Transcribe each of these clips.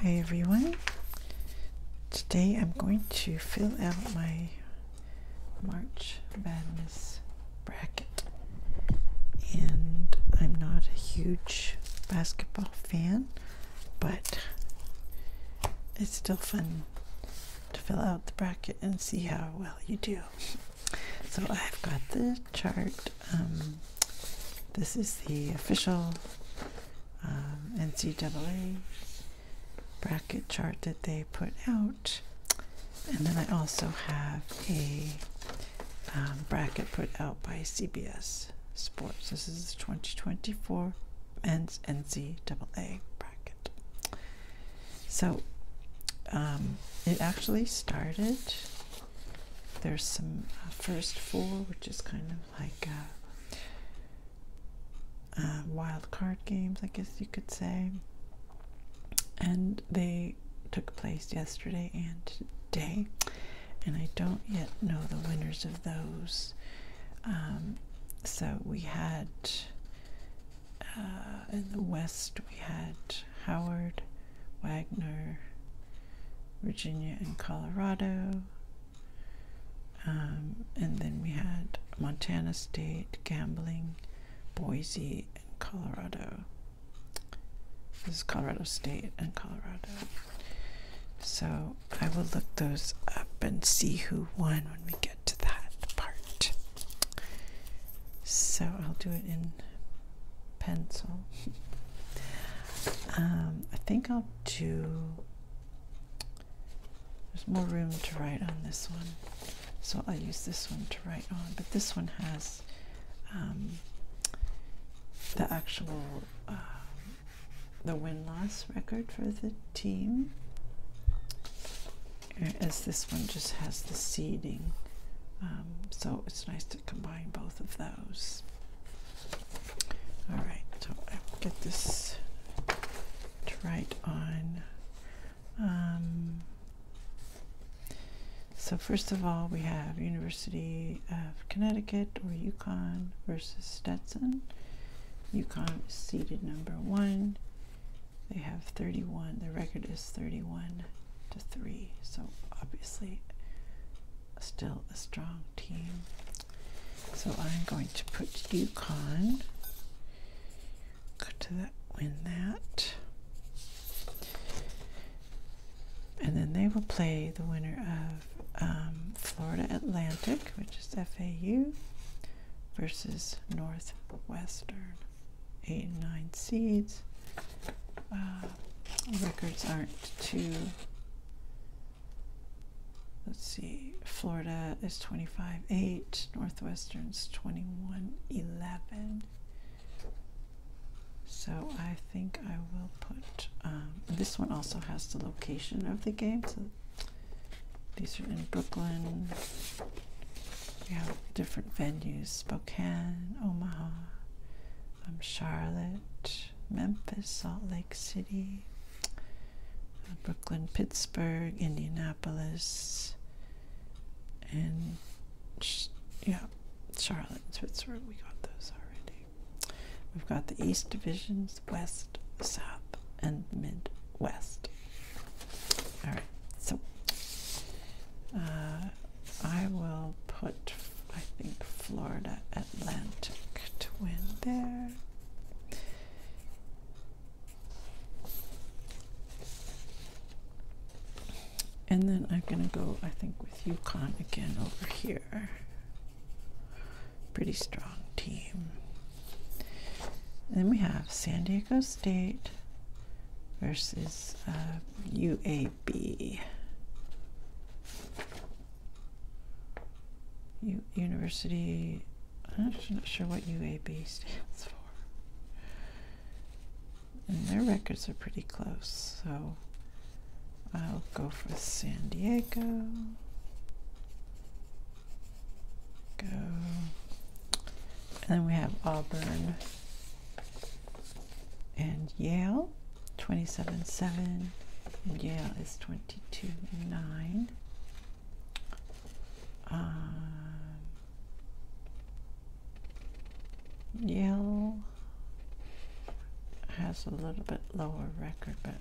Hi everyone. Today I'm going to fill out my March Madness bracket. And I'm not a huge basketball fan, but it's still fun to fill out the bracket and see how well you do. So I've got the chart um, this is the official um, NCAA bracket chart that they put out. And then I also have a um, bracket put out by CBS Sports. This is 2024 men's NCAA bracket. So um, it actually started there's some uh, first four, which is kind of like uh, uh, wild card games, I guess you could say. And they took place yesterday and today, and I don't yet know the winners of those. Um, so we had in the West, we had Howard Wagner, Virginia, and Colorado. Um, and then we had Montana State, gambling, Boise, and Colorado. This is Colorado State and Colorado. So I will look those up and see who won when we get to that part. So I'll do it in pencil. Um, I think I'll do. There's more room to write on this one, so I'll use this one to write on. But this one has um, the actual uh, the win loss record for the team, as this one just has the seeding. Um, so it's nice to combine both of those. All right, so I'll get this right on. Um, so first of all, we have University of Connecticut or Yukon versus Stetson. Yukon is seeded number one. They have 31. The record is 31 to 3. So obviously still a strong team. So I'm going to put UConn. Go to that, win that. And then they will play the winner of um, Florida Atlantic, which is FAU, versus Northwestern. Eight and nine seeds. Uh, records aren't too. Let's see. Florida is 25 8, Northwestern's 21 11. So I think I will put um, this one also has the location of the game. So these are in Brooklyn. We have different venues Spokane, Omaha, I'm Charlotte, Memphis, Salt Lake City, Brooklyn, Pittsburgh, Indianapolis, and yeah, Charlotte, Switzerland. We got those already. We've got the East Divisions, West, South, and Midwest. All right, so uh, I will put, I think, Florida Atlantic to win there. And then I'm going to go, I think, with Yukon again over here. Pretty strong team. then we have San Diego State versus uh, UAB be? University, I'm actually not sure what UAB stands for. And their records are pretty close, so I'll go for San Diego. Go. And then we have Auburn and Yale. 27 7 Yale is 22 9 um, Yale has a little bit lower record but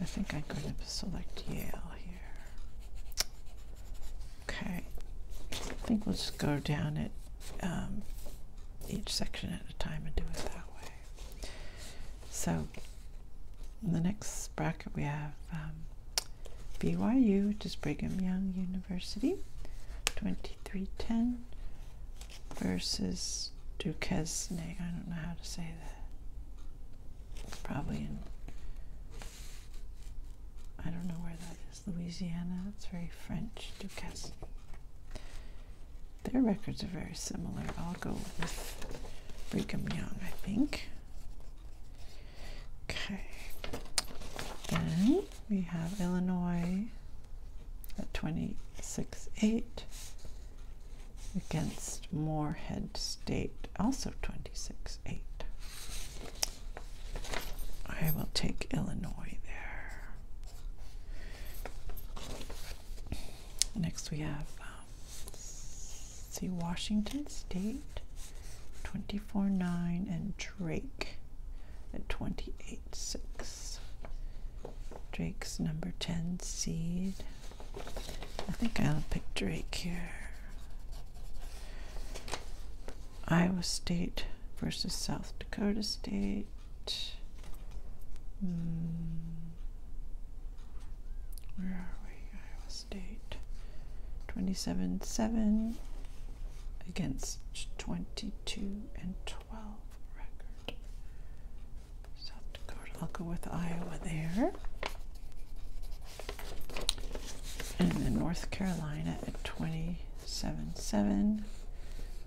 I think I'm going to select Yale here okay I think we'll just go down it um, each section at a time and do it that way. So in the next bracket we have BYU, which is Brigham Young University, 2310 versus Duquesne. I don't know how to say that. probably in, I don't know where that is. Louisiana. It's very French, Ducasse. Their records are very similar. I'll go with Brigham Young, I think. Okay. Then we have Illinois at 26-8 against Moorhead State, also 26-8. I will take Illinois there. Next we have um, see Washington State, twenty-four nine, and Drake at twenty-eight six. Drake's number ten seed. I think I'll pick Drake here. Iowa State versus South Dakota State. Hmm. Where are we? Iowa State. 27 7 against 22 and 12 record. South Dakota. I'll go with Iowa there. And then North Carolina at 20 seven seven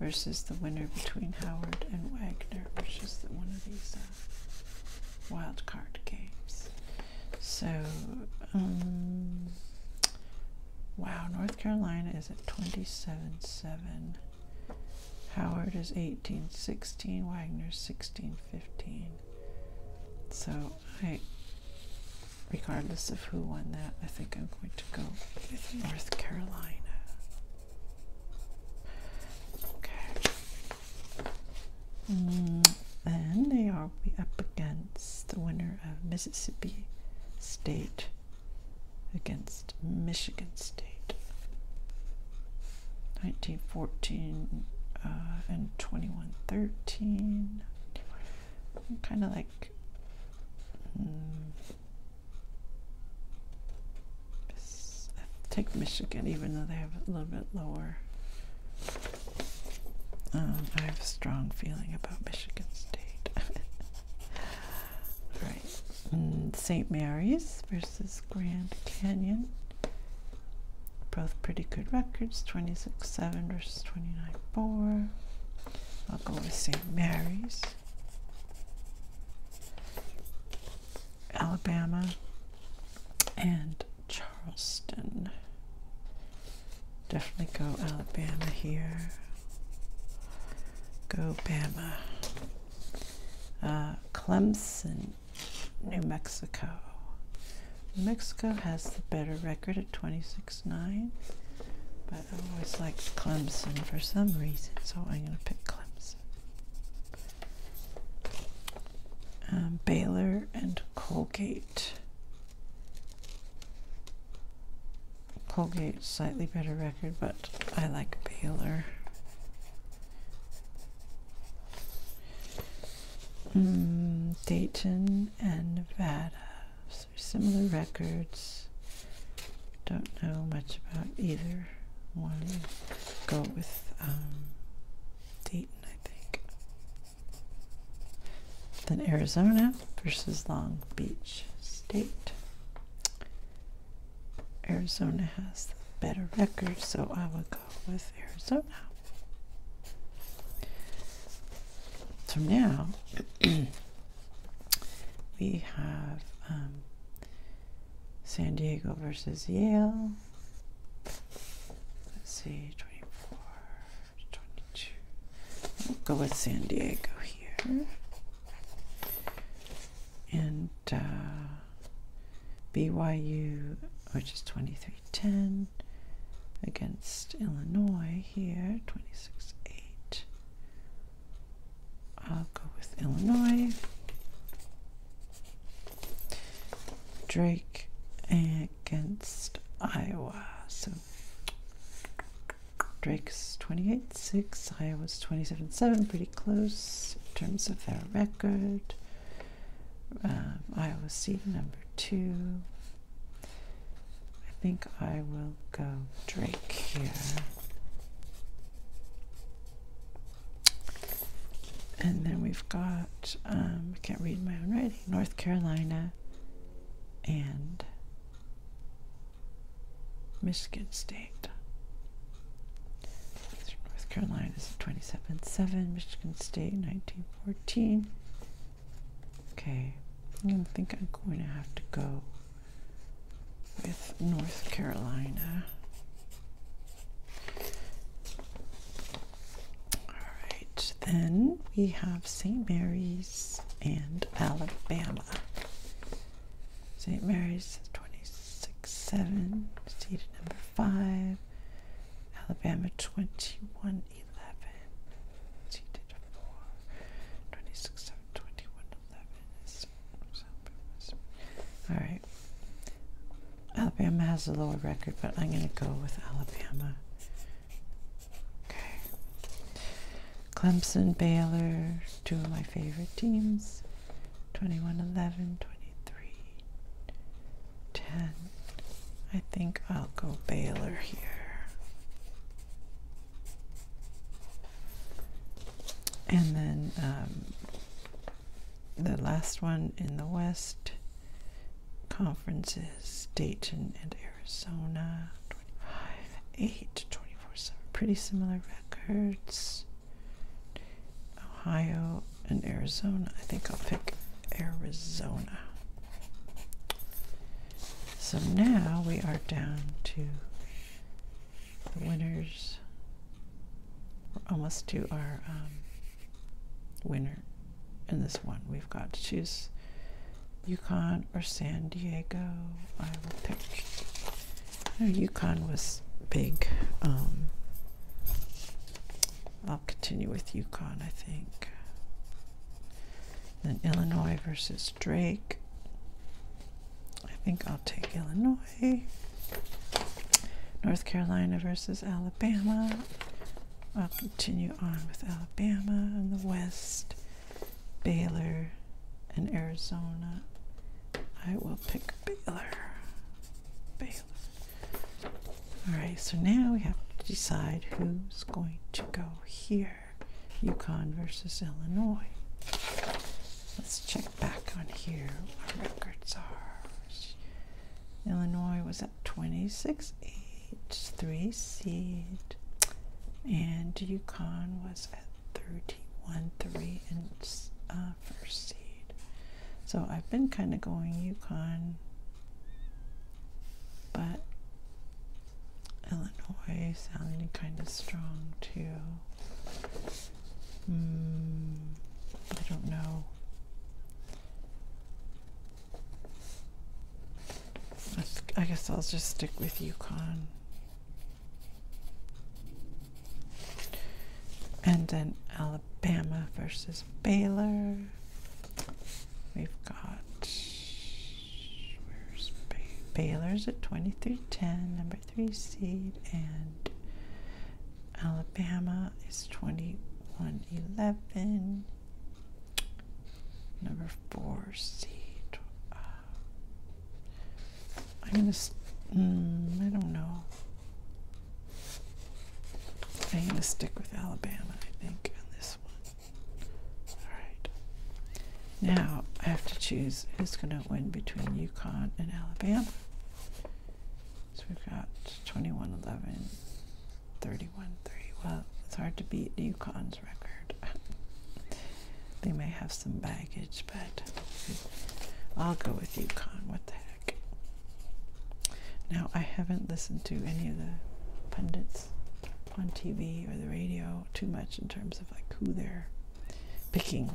versus the winner between Howard and Wagner, which is one of these uh, wild card games. So, um, wow, North Carolina is at 27 7. Howard is 18 16. Wagner 16 15. So I, regardless of who won that, I think I'm going to go with North Carolina. Okay. Mm, and they are up against the winner of Mississippi State against Michigan State. 1914 uh, and 2113. Kind of like like hmm, take Michigan, even though they have a little bit lower. Um, I have a strong feeling about Michigan State. All right, St. Mary's versus Grand Canyon. Both pretty good records, 26-7 versus 29-4. I'll go with St. Mary's, Alabama, and Charleston. Definitely go Alabama here. Go Bama. Uh, Clemson, New Mexico. Mexico has the better record at 26-9, but I always like Clemson for some reason, so I'm going to pick Clemson. Um, Baylor and Colgate. Colgate, slightly better record, but I like Baylor. Mm, Dayton and Nevada similar records. Don't know much about either. one. go with um, Dayton, I think. Then Arizona versus Long Beach State. Arizona has the better record, so I would go with Arizona. So now we have um, San Diego versus Yale. Let's see, 24, 22. go with San Diego here. And uh, BYU, which is 23. 10 against Illinois here, 26 8. I'll go with Illinois. Drake against Iowa. So Drake's 28 6, Iowa's 27 7, pretty close in terms of their record. Iowa's um, Iowa seed number two, I think I will go Drake here. And then we've got, um, I can't read my own writing, North Carolina and Michigan State. North Carolina is 27 7, Michigan State 1914. Okay, I think I'm going to have to go with North Carolina. All right, then we have St. Mary's and Alabama. St. Mary's 26-7, seated number 5. Alabama 21 11. She did a Alright. Alabama has a lower record, but I'm going to go with Alabama. Okay. Clemson, Baylor, two of my favorite teams. 21 11, 23, 10. I think I'll go Baylor here. And then um, the last one in the West conferences, Dayton and Arizona, 25, 8, 24, 7. Pretty similar records. Ohio and Arizona. I think I'll pick Arizona. So now we are down to the winners. We're almost to our um, winner in this one. We've got to choose Yukon or San Diego. I will pick. Oh, Yukon was big. Um, I'll continue with Yukon, I think. Then Illinois versus Drake. I think I'll take Illinois. North Carolina versus Alabama. I'll continue on with Alabama in the West. Baylor and Arizona. I will pick Baylor. Baylor. All right, so now we have to decide who's going to go here. Yukon versus Illinois. Let's check back on here. Our records are. Illinois was at 26-8, three seed. And Yukon was at 31-3 and uh, first seed. So I've been kind of going Yukon but Illinois sounded kind of strong too. Hmm, I don't know. I guess I'll just stick with Yukon. And then Alabama versus Baylor. We've got Baylor's at 2310, number three seed, and Alabama is 2111, number four seed. I'm gonna, mm, I don't know. I'm going to stick with Alabama, I think, on this one. All right. Now I have to choose who's going to win between Yukon and Alabama. So we've got 21 11, 31 3. Well, it's hard to beat Yukon's record. they may have some baggage, but I'll go with Yukon. What the heck? Now, I haven't listened to any of the pundits on TV or the radio too much in terms of like who they're picking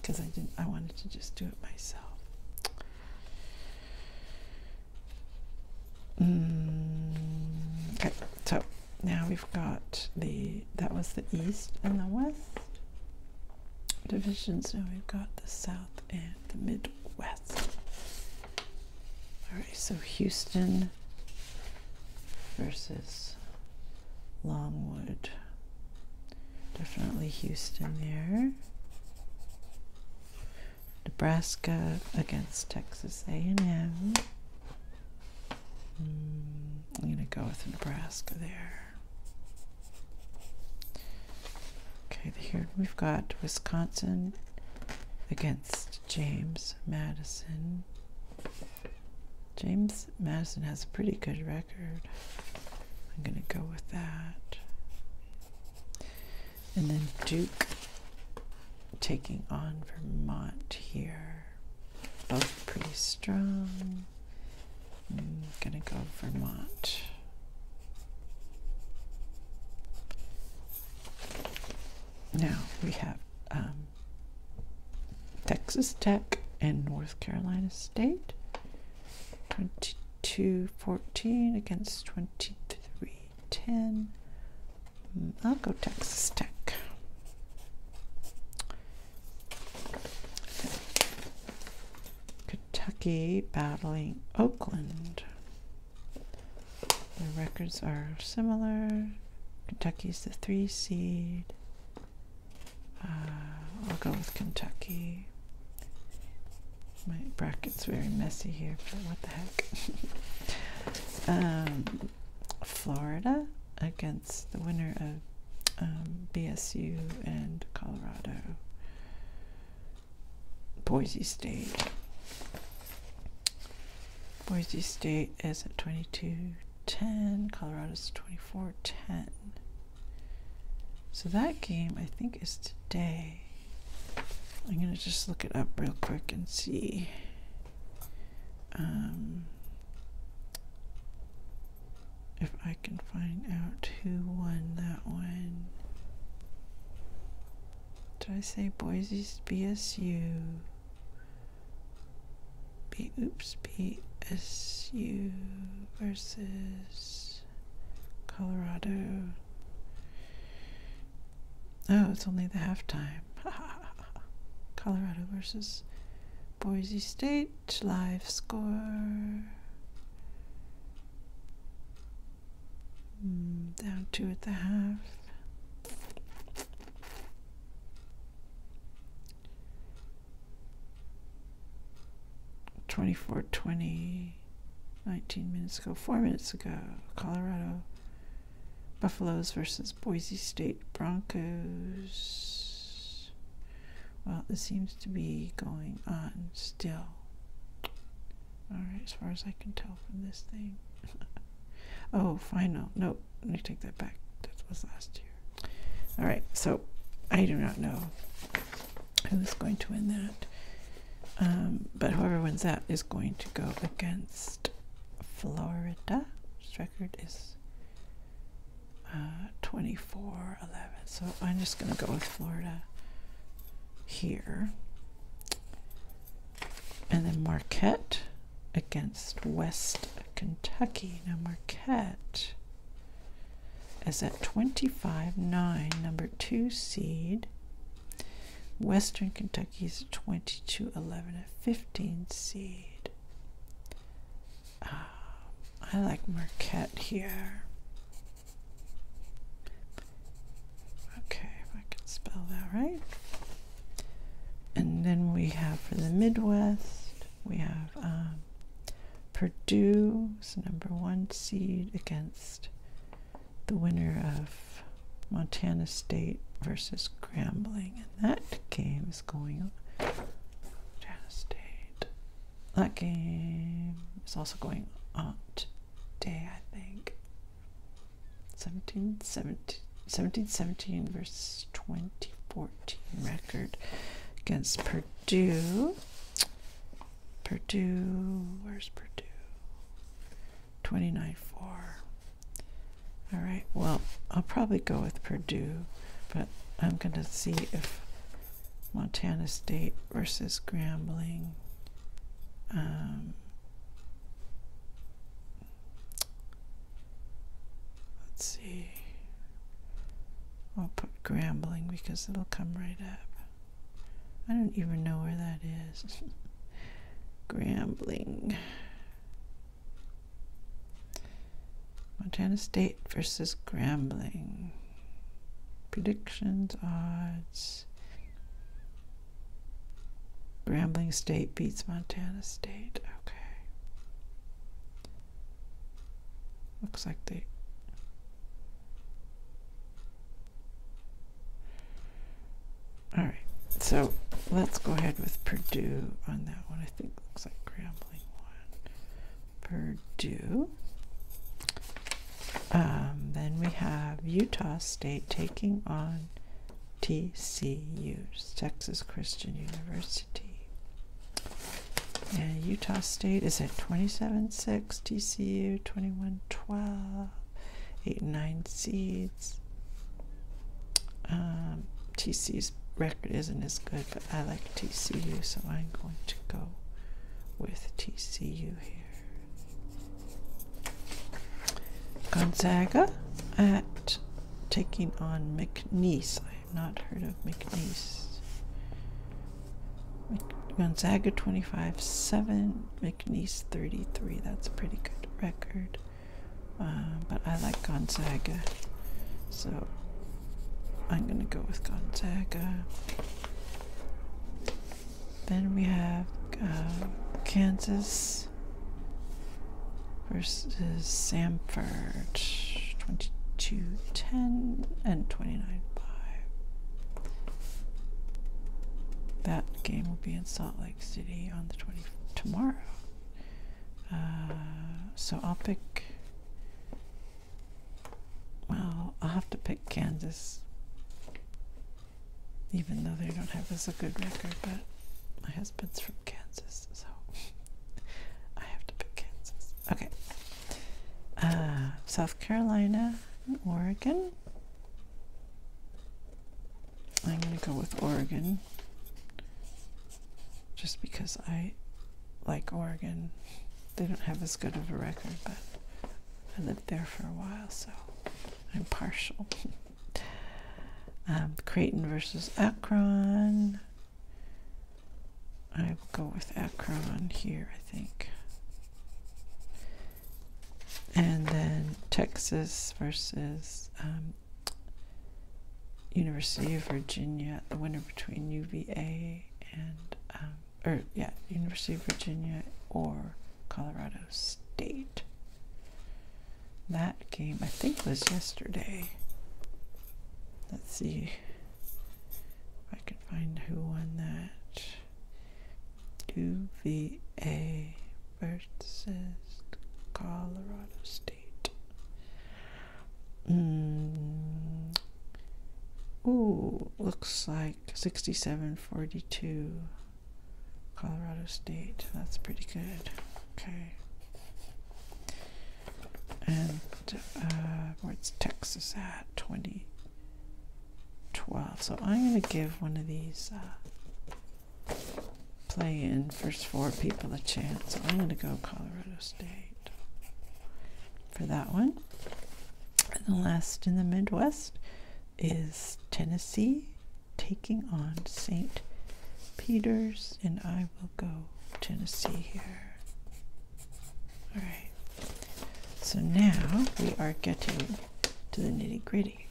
because I didn't I wanted to just do it myself. Mm, okay, so now we've got the that was the east and the west divisions. Now we've got the south and the Midwest. All right, so Houston versus Longwood. Definitely Houston there. Nebraska against Texas A&M. Mm, I'm going to go with Nebraska there. Okay, here we've got Wisconsin against James Madison. James Madison has a pretty good record. I'm going to go with that. And then Duke taking on Vermont here. Both pretty strong. I'm going to go Vermont. Now we have um, Texas Tech and North Carolina State. 22-14 against 23-10. Mm, I'll go Texas Tech. Kentucky battling Oakland. The records are similar. Kentucky's the three seed. Uh, I'll go with Kentucky. My bracket's very messy here, but what the heck. Um, Florida against the winner of um, BSU and Colorado. Boise State. Boise State is at 22-10. Colorado's 24-10. So that game, I think, is today. I'm going to just look it up real quick and see. Um, if I can find out who won that one. Did I say Boise BSU? B oops BSU versus Colorado. Oh, it's only the halftime. Colorado versus Boise State live score. Mm, down two at the half. Twenty-four twenty. 19 minutes ago, four minutes ago, Colorado Buffaloes versus Boise State Broncos. Well, this seems to be going on still. Alright, as far as I can tell from this thing. oh, final. No, let me take that back. That was last year. Alright, so I do not know who's going to win that. Um, but whoever wins that is going to go against Florida. record is uh, 24 so I'm just going to go with Florida here. And then Marquette against West Kentucky. Now Marquette is at 25-9, number two seed. Western Kentucky is 22-11, a 15 seed. Ah, I like Marquette here. Okay, if I can spell that right. And then we have for the Midwest, we have Purdue, um, Purdue's number one seed against the winner of Montana State versus Grambling. And that game is going on. That game is also going on today, I think. 17, 17, 17, 17 versus 2014 record against Purdue. Purdue, where's Purdue? 29 4. All right, well, I'll probably go with Purdue, but I'm going to see if Montana State versus Grambling. Um, let's see. I'll put Grambling because it'll come right up. I don't even know where that is. Grambling. Montana State versus Grambling predictions, odds. Grambling State beats Montana State. Okay. Looks like they. All right. So let's go ahead with Purdue on that one. I think looks like Grambling one. Purdue. Um, then we have Utah State taking on TCU, Texas Christian University. And Utah State is at 27 6, TCU 21 12, 8 9 seeds. Um, TC's record isn't as good, but I like TCU, so I'm going to go with TCU here. Gonzaga at taking on McNeese. I have not heard of McNeese. Gonzaga 25 7, McNeese 33. That's a pretty good record. Uh, but I like Gonzaga. So I'm gonna go with Gonzaga. Then we have uh, Kansas versus Samford, 22-10 and 29-5. That game will be in Salt Lake City on the 20 tomorrow. Uh, so I'll pick well, I'll have to pick Kansas. Even though they don't have as a good record, but my husband's from Kansas, so I have to pick Kansas. Okay. Uh, South Carolina Oregon. I'm going to go with Oregon just because I like Oregon they don't have as good of a record, but I lived there for a while, so I'm partial. um, Creighton versus Akron. I will go with Akron here, I think. And then Texas versus um, University of Virginia, the winner between UVA and um, or yeah, University of Virginia or Colorado State. That game, I think, was yesterday. Let's see if I can find who won that. UVA versus Colorado State. Mm. Ooh, looks like 6742 Colorado State. That's pretty good. Okay. And uh, where's Texas at? 2012. So I'm going to give one of these uh, play in first four people a chance. I'm going to go Colorado State for that one. And the last in the Midwest is Tennessee taking on St. Peter's, and I will go Tennessee here. All right. So now we are getting to the nitty gritty.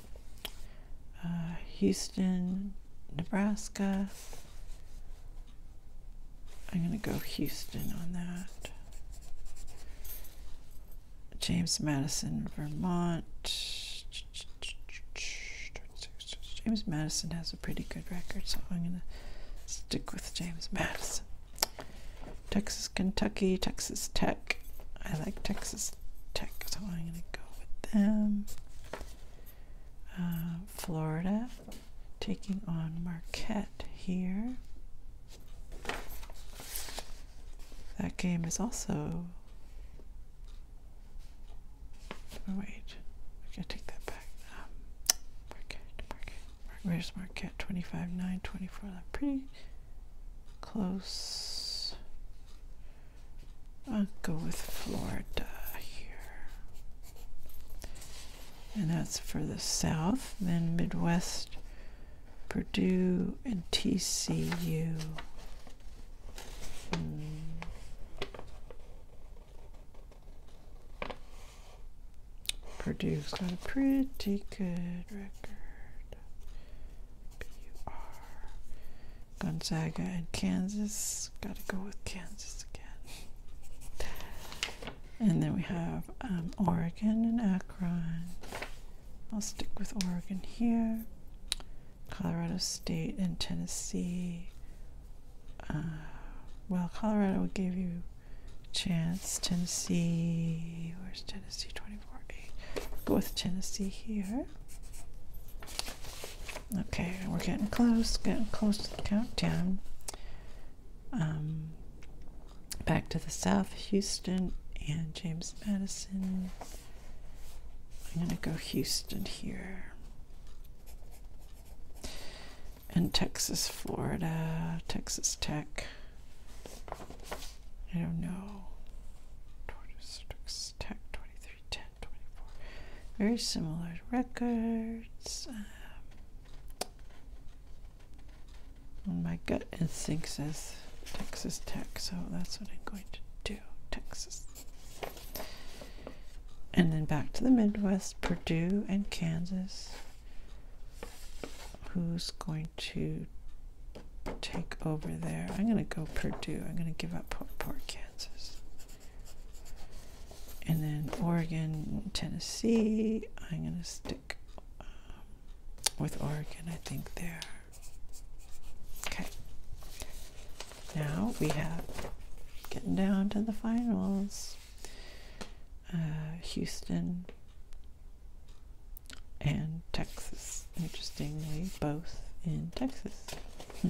Uh, Houston, Nebraska, I'm going to go Houston on that. James Madison, Vermont. James Madison has a pretty good record, so I'm going to stick with James Madison. Texas, Kentucky, Texas Tech. I like Texas Tech, so I'm going to go with them. Uh, Florida taking on Marquette here. That game is also. Oh, wait, I gotta take that back. Um, Marquette, Marquette, Marquette. Where's Marquette? 25 9, 24. That's pretty close. I'll go with Florida here. And that's for the South. Then Midwest, Purdue, and TCU. Hmm. Purdue's got a pretty good record. Gonzaga and Kansas. Gotta go with Kansas again. And then we have um, Oregon and Akron. I'll stick with Oregon here. Colorado State and Tennessee. Uh, well, Colorado give you chance. Tennessee, where's Tennessee? 24 8. Go with Tennessee here. Okay, we're getting close, getting close to the countdown um, back to the south, Houston and James Madison. I'm going to go Houston here. And Texas, Florida, Texas Tech. I don't know. Texas Tech 23 10 24. Very similar records. Um, my gut instinct says Texas Tech, so that's what I'm going to do. Texas. And then back to the Midwest, Purdue and Kansas. Who's going to take over there? I'm going to go Purdue. I'm going to give up poor, poor Kansas and then Oregon, Tennessee. I'm going to stick um, with Oregon, I think, there. Okay. Now we have getting down to the finals. Uh, Houston and Texas. Interestingly, both in Texas. Hmm.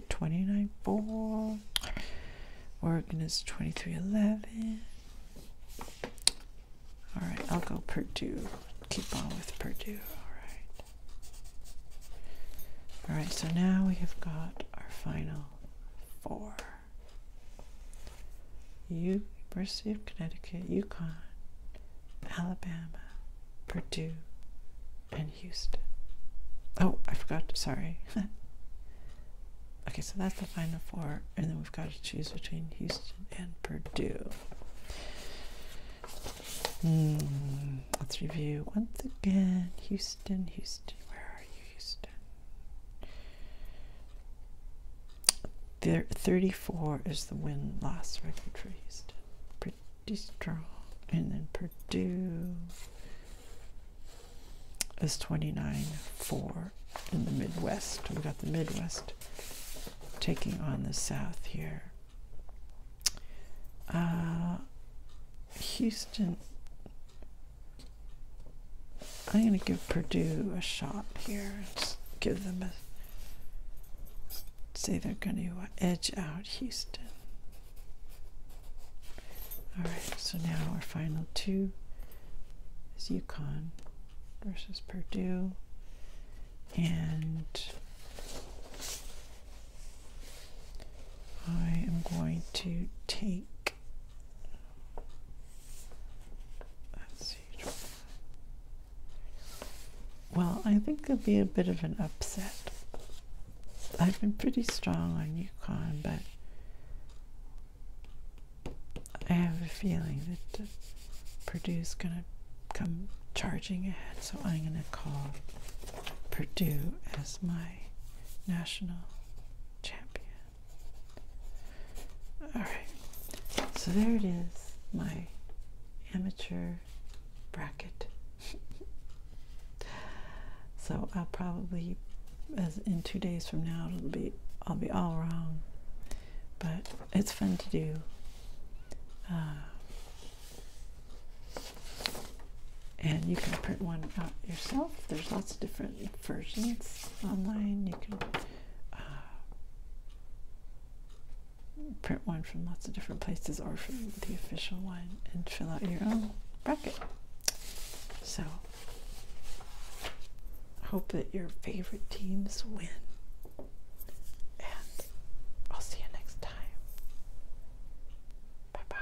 is 29 ball? Oregon is 2311. All right, I'll go Purdue. Keep on with Purdue. All right. All right, so now we have got our final four. University of Connecticut, Yukon, Alabama, Purdue, and Houston. Oh, I forgot. Sorry. okay, so that's the final four, and then we've got to choose between Houston and Purdue. Hmm, let's review once again. Houston, Houston, where are you, Houston? There, 34 is the win loss record for Houston. Pretty strong. And then Purdue is twenty nine four in the Midwest. We've got the Midwest taking on the South here. Uh, Houston, I'm going to give Purdue a shot here. Let's give them a, say they're going to edge out Houston. All right, so now our final two is Yukon versus Purdue. And I am going to take, let's see, well, I think it'll be a bit of an upset. I've been pretty strong on UConn, but I have a feeling that uh, Purdue's going to come charging ahead, so I'm going to call Purdue as my national champion. Alright, so there it is, my amateur bracket. So I'll probably, as in two days from now, it'll be I'll be all wrong, but it's fun to do. Uh, and you can print one out yourself. There's lots of different versions online. You can uh, print one from lots of different places or from the official one and fill out your own bracket. So, hope that your favorite teams win. And I'll see you next time. Bye bye.